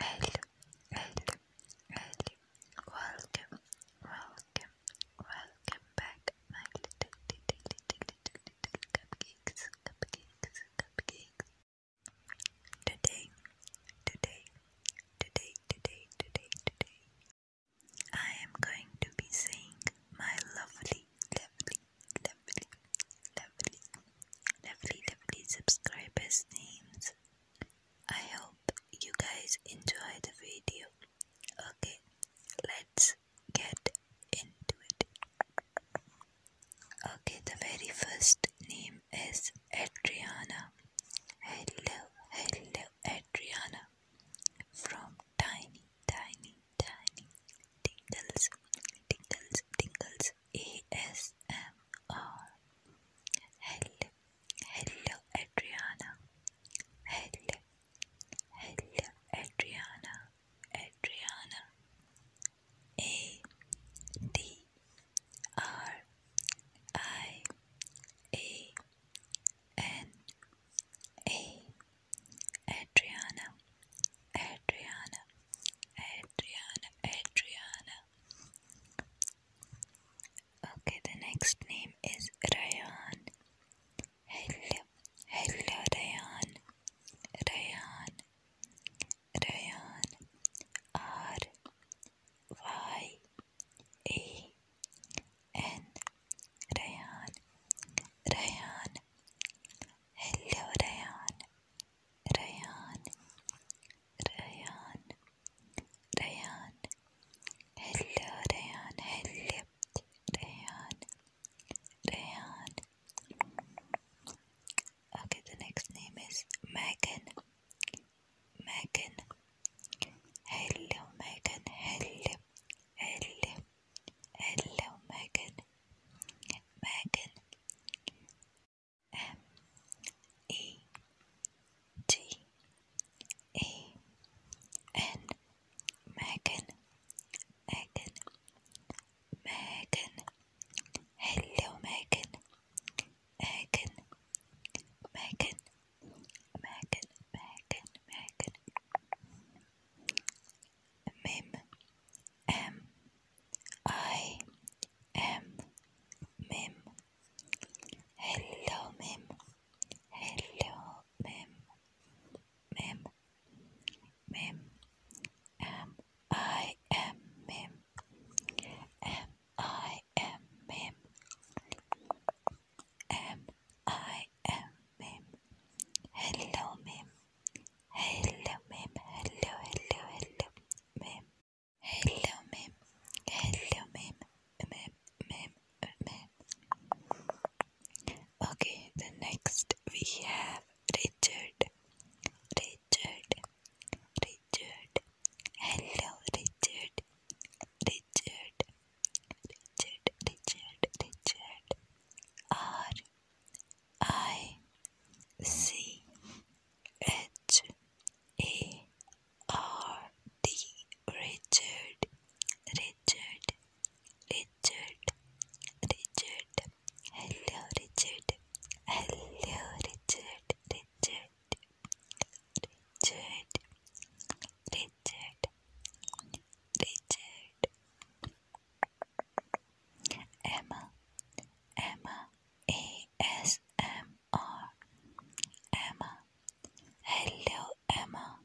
Hello, hello, hello. Welcome, welcome, welcome back, my little, cupcakes, cupcakes, cupcakes. Today, today, today, today, today, today, I am going to be saying my lovely, lovely, lovely, lovely, lovely, lovely subscribers' names. I hope you guys enjoy the video. Okay, let's get into it. Okay, the very first name is Adriana. Hello, hello, Adriana from Tiny, Tiny, Tiny Tingles, Tingles, Tingles ASMR. Hello, hello Adriana. Hello, hello Adriana. Adriana. A D R I A N A Adriana. Adriana. Adriana. Adriana, Adriana. Okay, the next name is Rayan. Hello, hello, Rayan. Rayan, Rayan. R Y E N. Rayan, Rayan. Hello, Rayan. ريان ريان ريان هلا ريان هلا ريان ريان Okay the next name is Megan Megan Hello Megan Hello Hello Hello, Megan. Megan. M E T E N. Megan. Megan. Megan. Hello, Megan. Megan. Megan. Megan. Megan. Megan mim m i m mim hello mim hello mim mim mim m i m mim m i m mim m i m mim hello mim Hello, ma'am. Hello, hello, hello, ma'am. Hello, ma'am. Hello, ma'am. Ma'am, ma'am, ma'am. Okay, the next we have Richard. Richard. Richard. Hello, Richard. Richard. Richard, Richard, Richard. Are I C H A R D Richard Richard Richard Richard Hello Richard Hello Richard Richard Richard Richard Richard Emma, Emma, A S M R, Emma. Hello, Emma.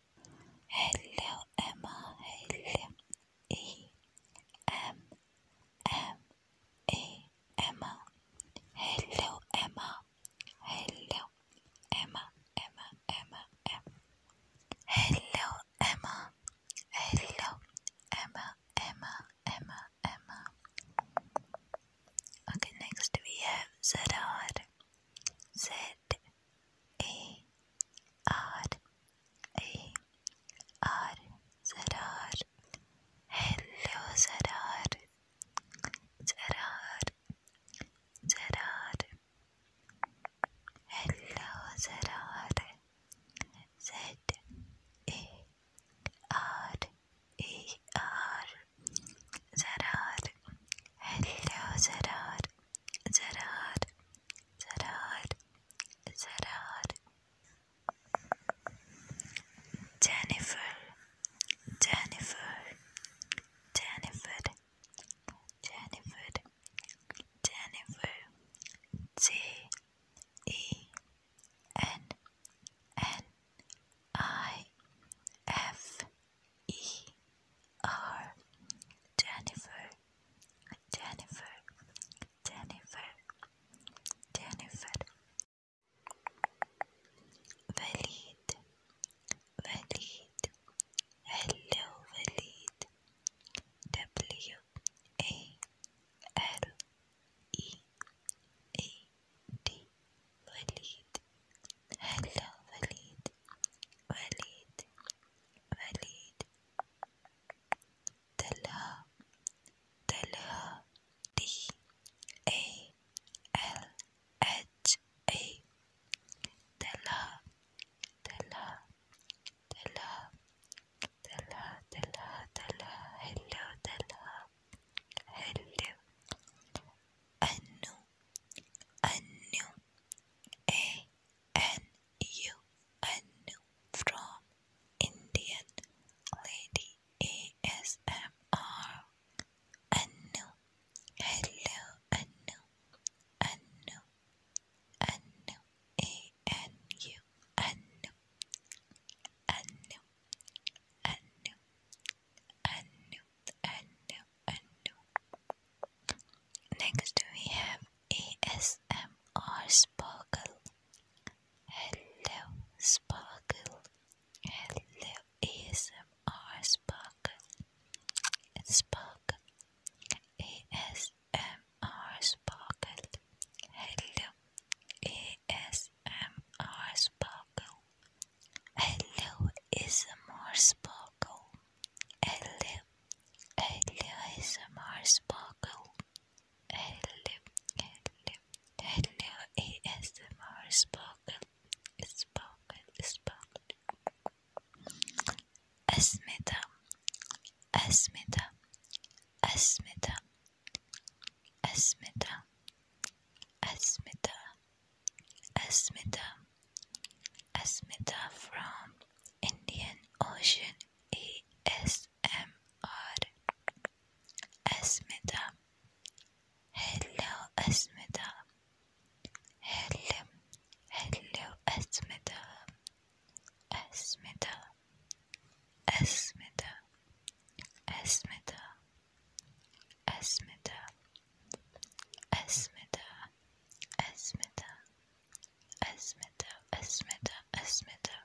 Hello, Emma. Hello, E M M A Emma. Hello, Emma. Hello, Emma. Emma. Emma. Emma. Hello, Emma. Hello, Emma, Emma, Emma, Emma. Okay, next we have Zedard. Z E R E R Zedard. Hello, Zedard. Zedard. Zedard. Hello, Zerare. Z A R E R. Zerare. Hello, Zerare. Zerare. Zerare. Zerare. Jennifer. Jennifer. Jennifer. Jennifer, Jennifer, J E N N I F E R, Jennifer, Jennifer, Jennifer, Jennifer. Valid, وليد هلو وليد W A L E A D وليد هلو وليد وليد وليد طلها طلها D A L e H A Della Della Della Della Della Della Hello Della Hello Anu Anu A N U Anu from Indian Lady ASMR Anu Hello Anu, Anu, Anu, A N U, Anu, Anu, Anu, Anu, Anu, Anu. Next we have ASMR Sparkle. Hello, Sparkle. Hello ASMR Spark Spark ASMR Sparkle Hello ASMR Sparkle Hello ASMR Sparkle Hello Hello ASMR Sparkle Hello Hello Hello ASMR Sparkle spoken spoken Esmida Esmida Esmida Esmida Esmida Esmida Esmida from Indian Ocean ASMR Esmida Hello Asmita. Hello. Hello Asmita. Asmita. Asmita. Asmita. Asmita. Asmita. Asmita. Asmita. Asmita. Asmita.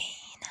Ina.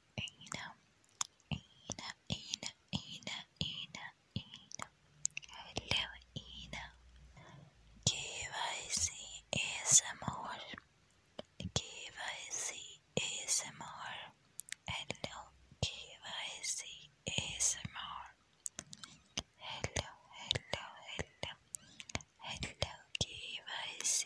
Ina, Ina, Ina, Ina, Ina, Ina. Hello, Ina. KYC Hello, KYC Hello, hello, hello. Hello, KYC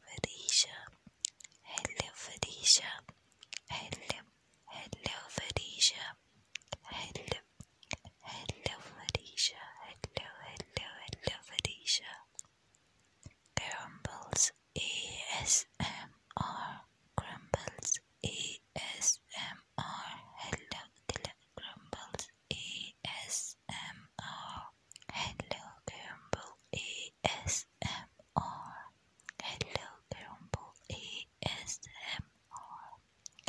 Felicia. Hello, Felicia. Hello, hello, Felicia. Hello, hello, Felicia. Hello, hello, hello, Felicia. Crumbles ASMR. Crumbles ASMR. Hello, hello, Crumbles ASMR. ASMR. Hello, Grumble ASMR. Hello, Grumble ASMR.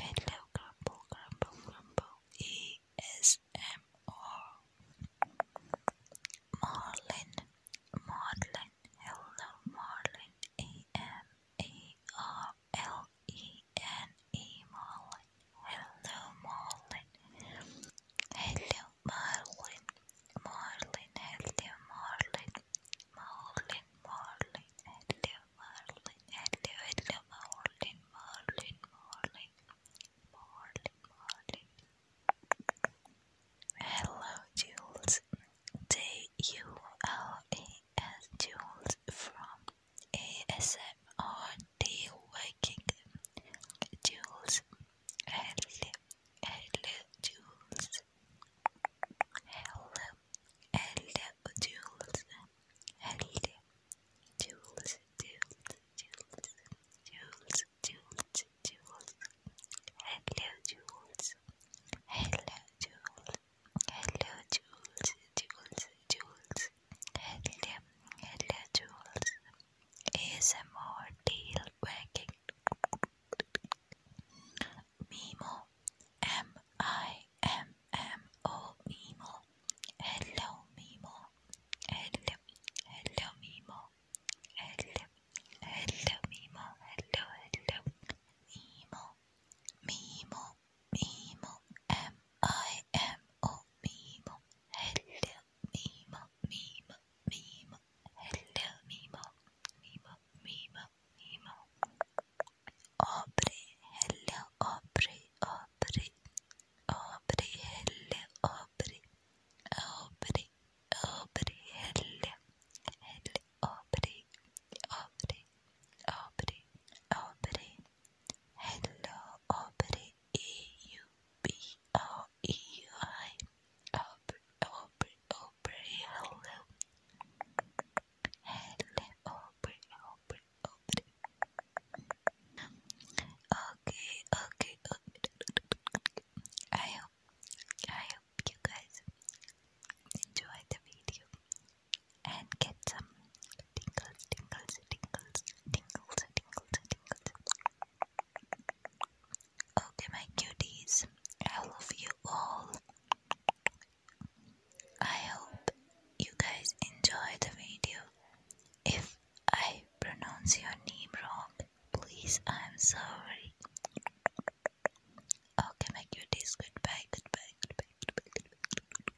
Hello, Grumble, Grumble, Grumble ASMR. Marlin, Marlin, hello, Marlin, A-M, A-R-L-E-N, E, Marlin, hello, Marlin, hello, Marlin, Marlin, hello Marlin, Marlin, Marlin, hello Marlin, hello, hello Marlin, Marlin, Marlin, Marlin, Hello Jules, J U L E S Jules from A S M them are the Viking Jules L. L. Jules L. L. Jules L. Jules Jules Jules Jules Jules Jules Hello Jules Hello Jules Hello Jules Jules Jules Hello Hello Jules ASMR tail wagging. Mimo, M I M M O Mimo. Hello Mimo. Hello, hello Mimo. Hello, hello Mimo. Hello, hello Mimo. Mimo, Mimo. M I M O Mimo. Hello, Mimo, Mimo, Mimo. Hello, Mimo, Mimo, Mimo, Mimo. Aubrey, hello, Aubrey, Aubrey. Aubrey, hello, Aubrey. Aubrey, Aubrey, hello. Hello, Aubrey, Aubrey, Aubrey, Aubrey. Hello, Aubrey. E U B O E U I. Okay, okay, okay. I hope, I hope you guys enjoy the video and get some tingles, tingles, tingles, tingles, tingles, tingles. Okay, my cuties, I love you all. I hope you guys enjoy the video. If I pronounce your name wrong, please, I'm sorry. Okay, my cuties, goodbye, goodbye, goodbye, goodbye. goodbye.